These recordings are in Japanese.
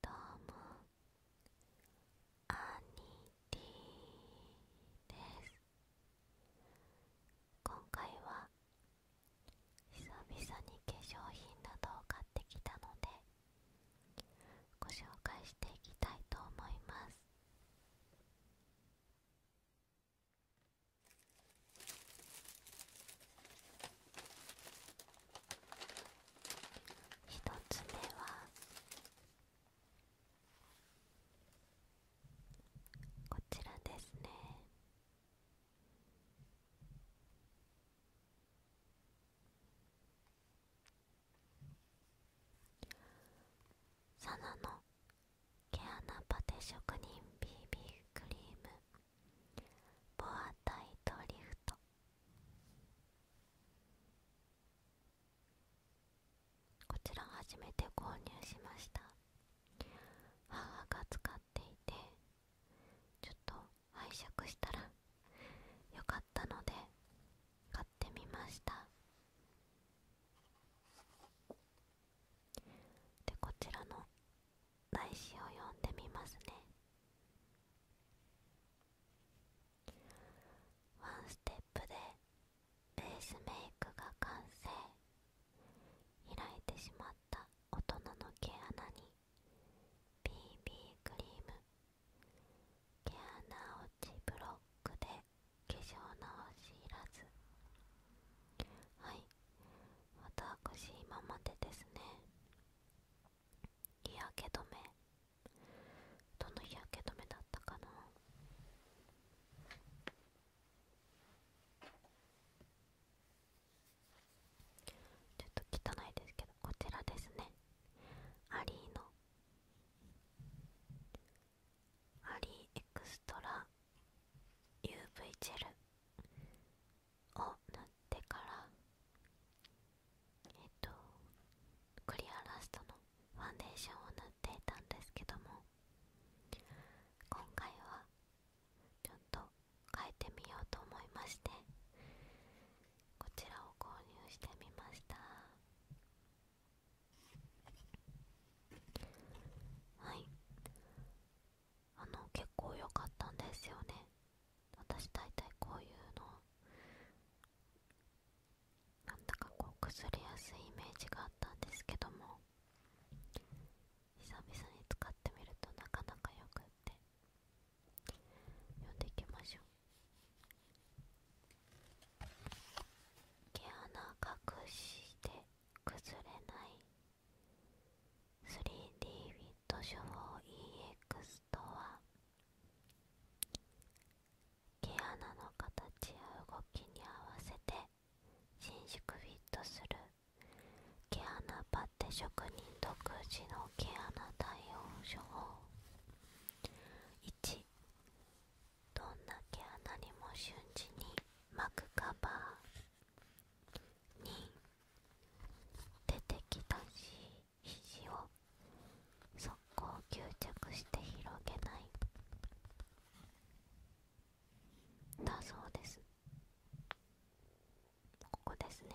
どうもアニリィです今回は久々に化粧品などを買ってきたのでご紹介していきたいと思います一つ目はこちらですねサナの毛穴パテ職人 BB クリームボアタイトリフトこちら初めて購入しました母が使っていてちょっと拝借したらよかったので買ってみましたでこちらの来詩を読んでみますねワンステップでベースメイクが完成開いてしまった大人の毛穴に BB クリーム毛穴落ちブロックで化粧直しいらずはい私今までですね日焼け止めどの日焼け止めだったかなちょっと汚いですけどこちらですねアリーのアリーエクストラ UV ジェルを塗ってからえっとクリアラストのファンデーションを塗っていたんですけども今回はちょっと変えてみようと思いましてこちらを購入してみましたはいあの結構良かったんですよね私大体こういうのなんだかこう崩れやすいイメージがあったんですけども久々に使ってみるとなかなかよくって読んでいきましょう毛穴隠して崩れない 3D ウィット処方 EX とは毛穴の形や動きに合わせて伸縮フィットする毛穴パテ職人独自の毛穴対応処方1どんな毛穴にも瞬時に巻くカバー2出てきたし肘を速攻吸着して広げないだそうですここですね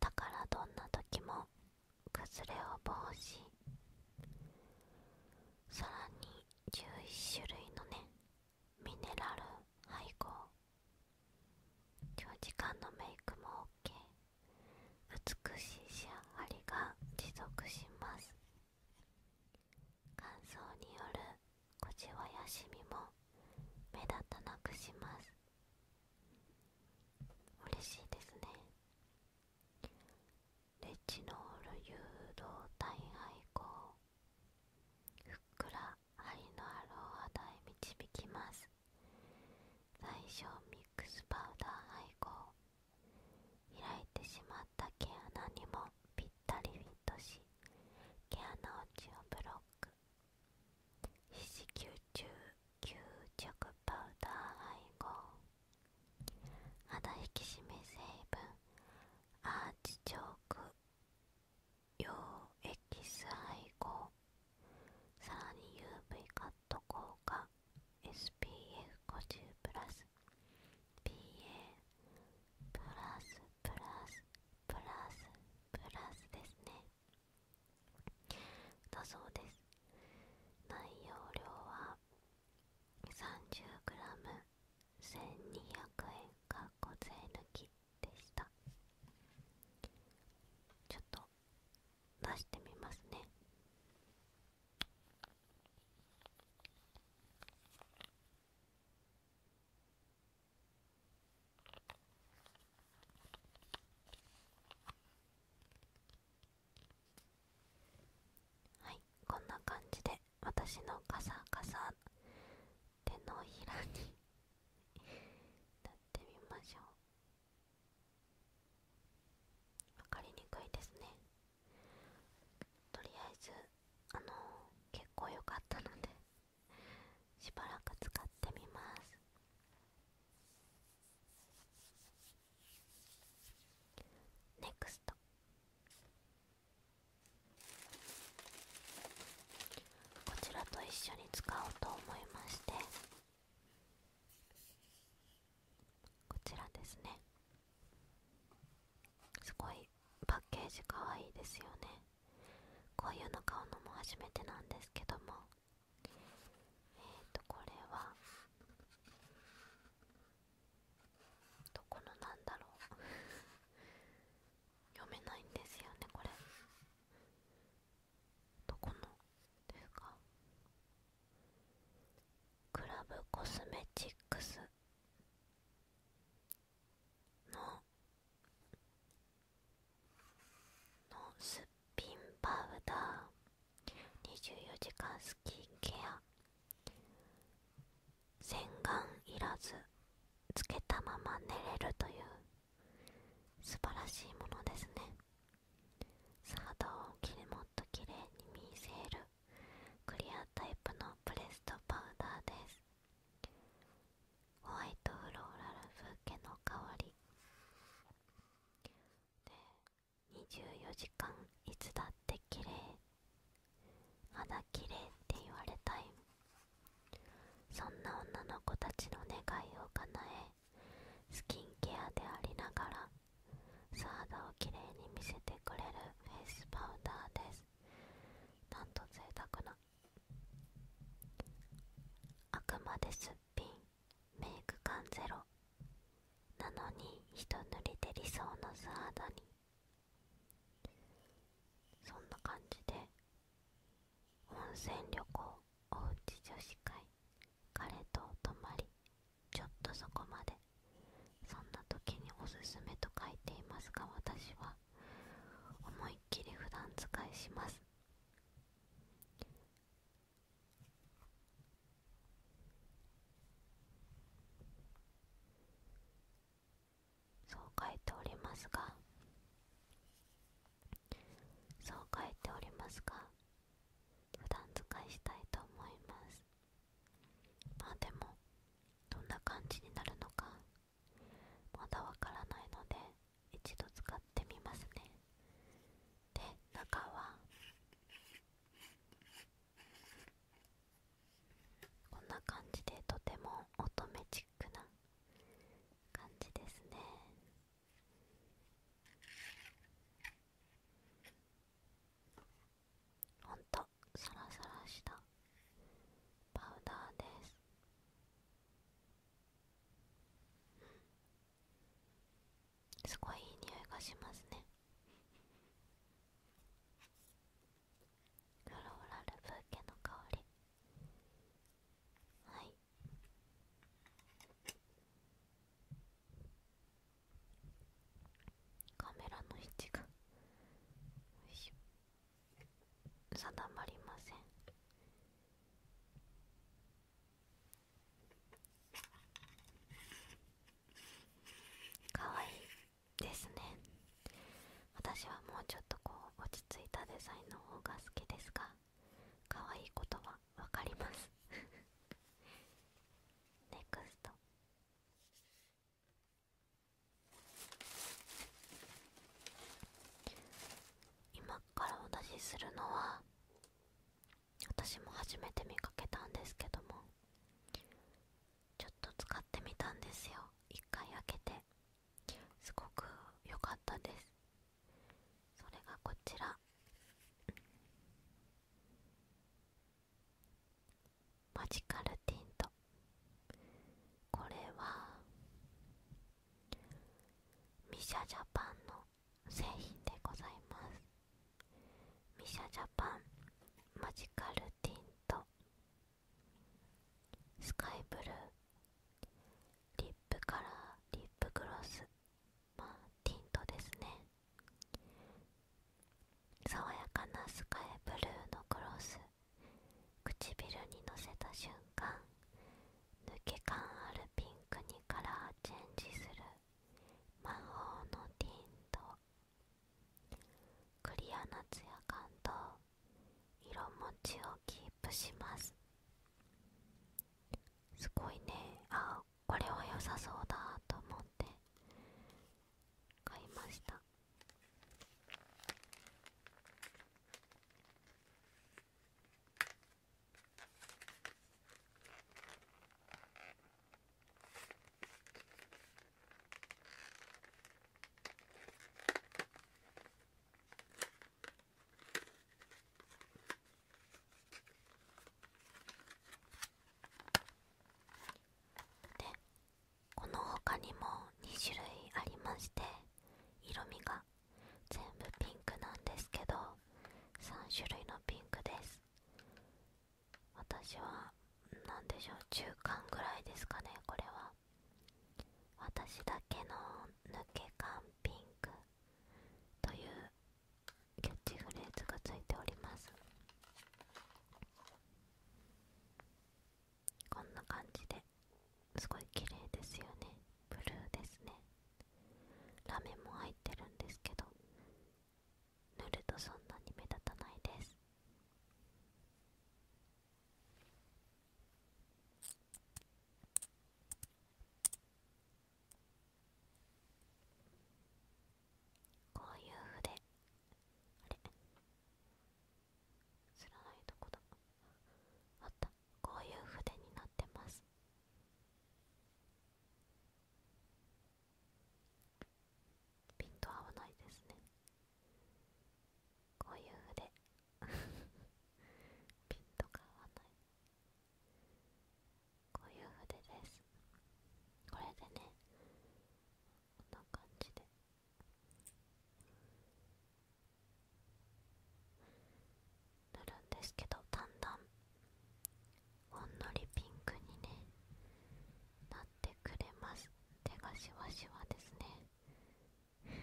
だからどんな時も崩れを防止さらに11種類のねミネラル配合長時間のメイクも OK 美しい仕上がりが持続します乾燥による小じわやシミも目立たなくします嬉しいですねレチノール誘導体配合ふっくら針のあるお肌へ導きます最初ミックスパウダー配合開いてしまった毛穴にもぴったりフィットし毛穴落ちをブロック四肢吸虫吸着パウダー配合肌引き締め成分アーチチョーク用エキス配合さらに UV カット効果 SPF50 プラス PA プラスプラスプラスプラスですねだそうです内容量は 30g 1 2 0円か小税抜きでしたちょっと出してみますねはいこんな感じで私のカサカサ手のひらになってみましょう分かりにくいですねとりあえずあの結構良かったのでしばらく使ってみますネクストこちらと一緒に使おうと思いましてこちらですねすごいパッケージかわいいですよねこういうの買うのも初めてなんですけどもえっ、とこれはどこのなんだろう読めないんですよねこれどこのですかクラブコスメチックスののすっぴんパウダー24時間スキンケア洗顔いらずつけたまま寝れるという素晴らしいものですねサードをきれもっときれいに見せるクリアタイプのプレストパウダーですホワイトフローラル風景の香りで24時間いつだって綺麗肌綺麗って言われたいそんな女の子たちの願いを叶えスキンケアでありながら素肌を綺麗に見せてくれるフェイスパウダーですなんと贅沢なあくまですっぴんメイク感ゼロなのに一塗りで理想の素肌にそんな感じで温泉旅行おうち女子会彼とお泊まりちょっとそこまでそんな時におすすめと書いていますが私は思いっきり普段使いしますそう書いておりますがそう書いておりますが普段使いしたいと思いますまあでもどんな感じになるのかまだわからないので一度使ってみますねで中はこんな感じでとても乙女チックな感じですねほんとサラサラしたパウダーですすごいいい匂いがしますねフローラルブーケの香りはいカメラの位置が定まりませんかわいいですね私はもうちょっとこう着いたデザインの方が好きですが可愛いことは分かります NEXT 今からお出しするのは私も初めて見かけたんですけどもちょっと使ってみたんですよ一回開けてすごく良かったですそれがこちらマジカルティントこれはミシャジャパンの製品でございますミシャジャパンマジカルティントスカイブルーリップカラーリップグロスまあティントですね爽やかなスカイブルーのグロス唇にのせた瞬間抜け感あるピンクにカラーチェンジする魔法のティントクリアなツヤ感と色持ちをキープしますすごいねあこれは良さそうだと思って買いましたでこの他にも2種類ありまして色味が全部ピンクなんですけど3種類のピンクです私は何でしょう中間ぐらいですかねこれは私だけの抜け感ピンクというキャッチフレーズがついておりますこんな感じですごい綺麗ですよねブルーですねラメも入ってるんですけど塗るとそんなに目立たないですこういう筆あれ知らないとこだあったこういう筆になってますピント合わないですねこういう筆ピントが合わないこういう筆ですこれでねこんな感じで塗るんですけどだんだんほんのりピンクにねなってくれます手がシワシワですね分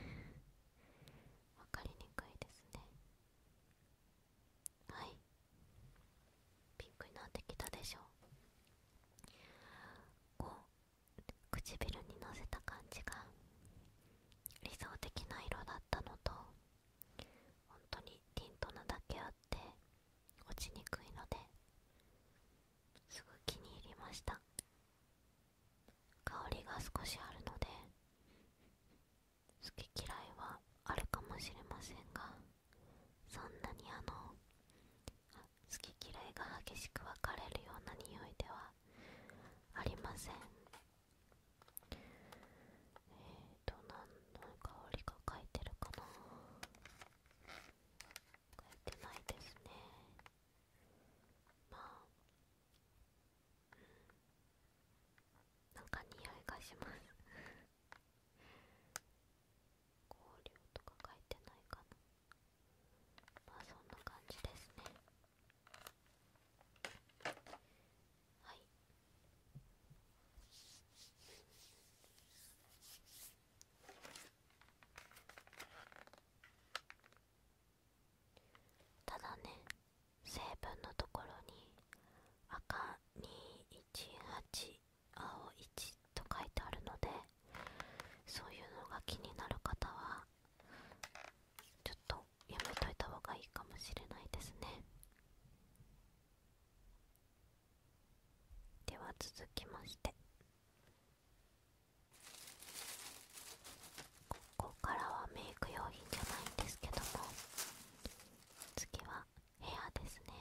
かりにくいですねはいピンクになってきたでしょこう唇にのせた感じが理想的な色だったのと本当にティントなだけあって落ちにくいのですぐ気に入りました香りが少しあるので好き嫌いはあるかもしれませんがそんなにあの好き嫌いが激しく分かれるような匂いではありませんえっ、と何の香りが書いてるかな書いてないですねまあなんか匂いがします香料とか書いてないかなまあそんな感じですねはいただね成分のところに赤218青1と書いてあるのでそういうのが気になる方はちょっとやめといた方がいいかもしれないですねでは続きましてここからはメイク用品じゃないんですけども次はヘアですね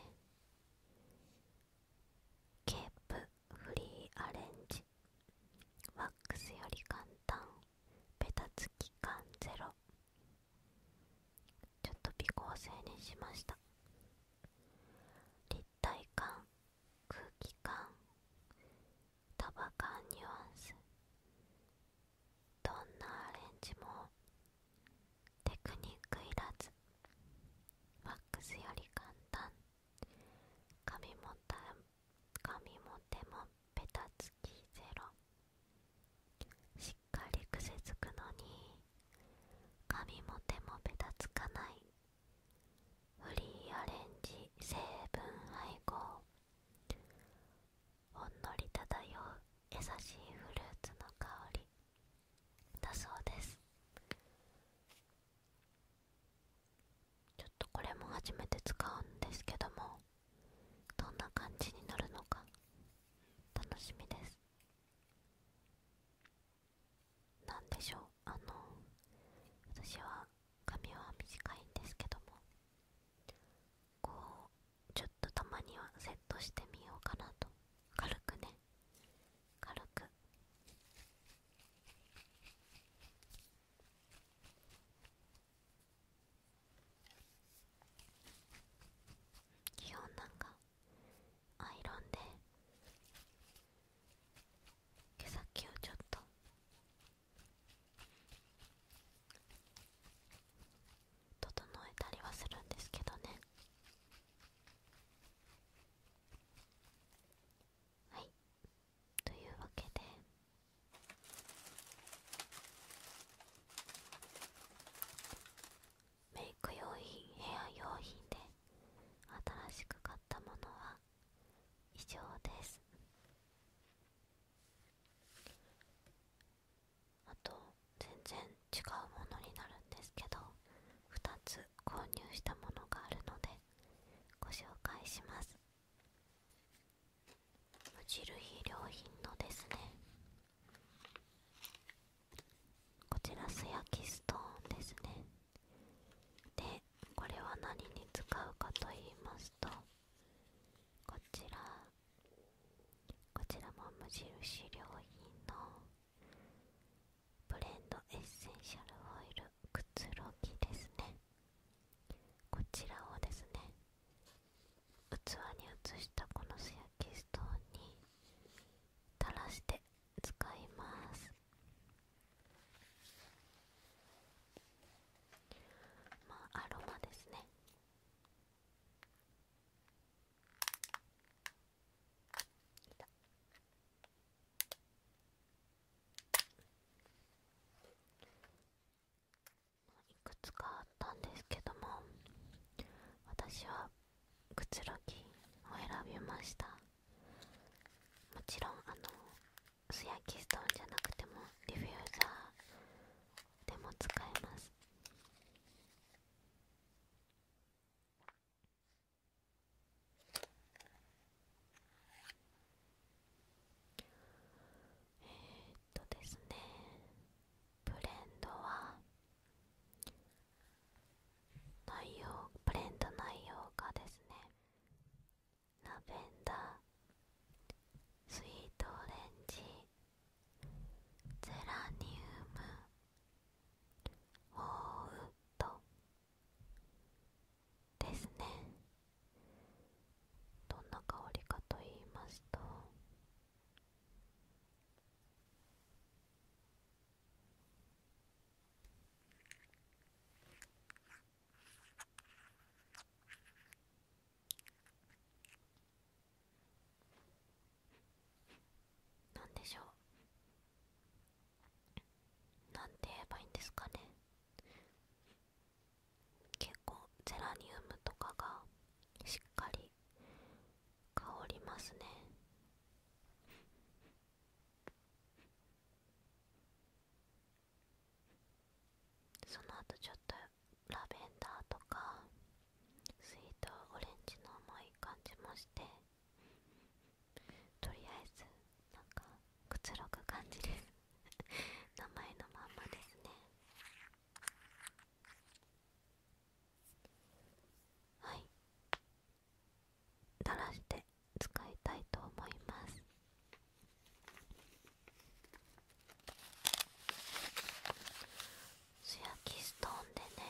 ケープフリーアレンジワックスより簡単ベタつき感ゼロちょっと微光成にしました立体感空気感束感ニュアンスどんなアレンジもテクニックいらずワックスより簡単髪も髪も手もベタつきゼロしっかり癖つくのに髪も手もベタつかないフリーアレンジ成分配合ほんのり漂う優しいフルーツの香りだそうですちょっとこれも初めて使うんですけどもどんな感じになるのか楽しみです何でしょうあの私は髪は短いんですけどもこうちょっとたまにはセットしてみようかなと軽くね軽く基本なんかアイロンで毛先をちょっと整えたりはするんですけどねはいというわけでメイク用品ヘア用品で新しく買ったものは以上ですあと全然違うものになるんですけど2つ購入したものがあるのでご紹介します無印良品のですねこちら素焼きストーンですねでこれは何に使うかと言いますとこちらこちらも無印良品のブレンドエッセンシャルオイルくつろぎですねこちらをですね器に移したこの素焼きストーンに垂らして使いますまあアロマですねいくつかあったんですけども私はくつろぎを選びましたもちろんあの素焼きストーンじゃなくてもディフューザーでも使えますえっとですねブレンドは内容ブレンド内容がですねラベンダースイートオレンジゼラニウムホーウッドですねどんな香りかと言いますと何でしょうなんて言えばいいんですかね結構ゼラニウムとかがしっかり香りますねその後ちょっとラベンダーとかスイートオレンジの重い感じもしてとりあえずなんかくつろぐ感じです 名前のまんまですねはい垂らして使いたいと思います素焼きストーンでね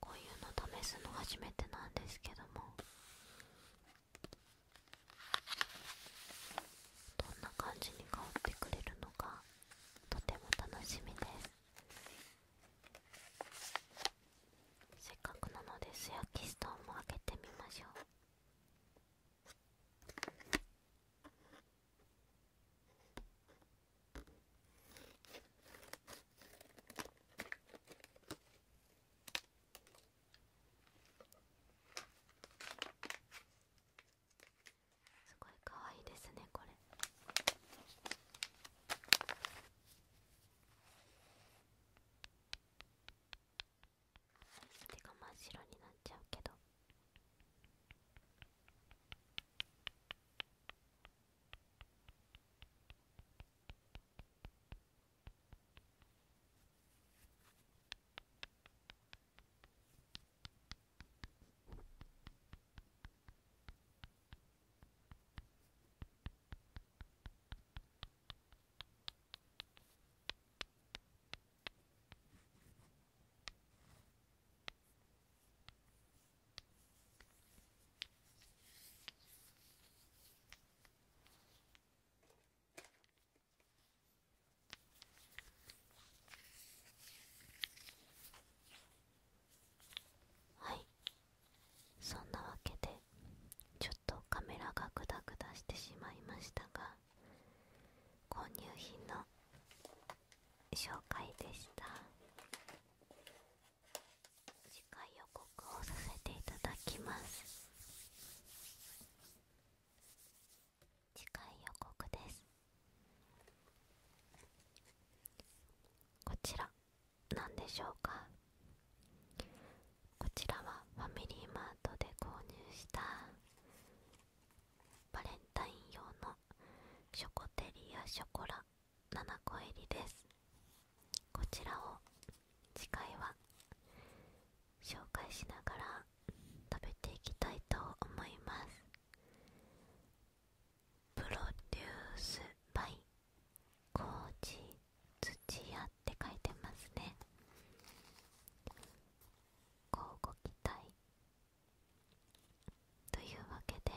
こういうの試すの初めてなんですけどもどんな感じに香ってくれるのかとても楽しみですせっかくなので素焼きストーンも開けてみましょうすごいかわいいですねこれ。手が真っ白になっちゃうけどはいそんなわけでちょっとカメラがグダグダしてしまいましたが購入品の紹介でした次回予告をさせていただきます次回予告ですこちら何でしょうかこちらはファミリーマートで購入したバレンタイン用のショコテリアショコラ7個入りですこちらを次回は紹介しながら食べていきたいと思いますプロデュースバイコーチ土屋って書いてますね乞うご期待というわけで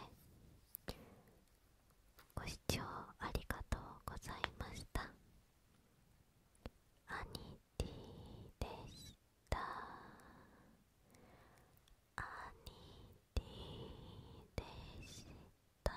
ご視聴ありがとうございました兄ニでした兄ニでした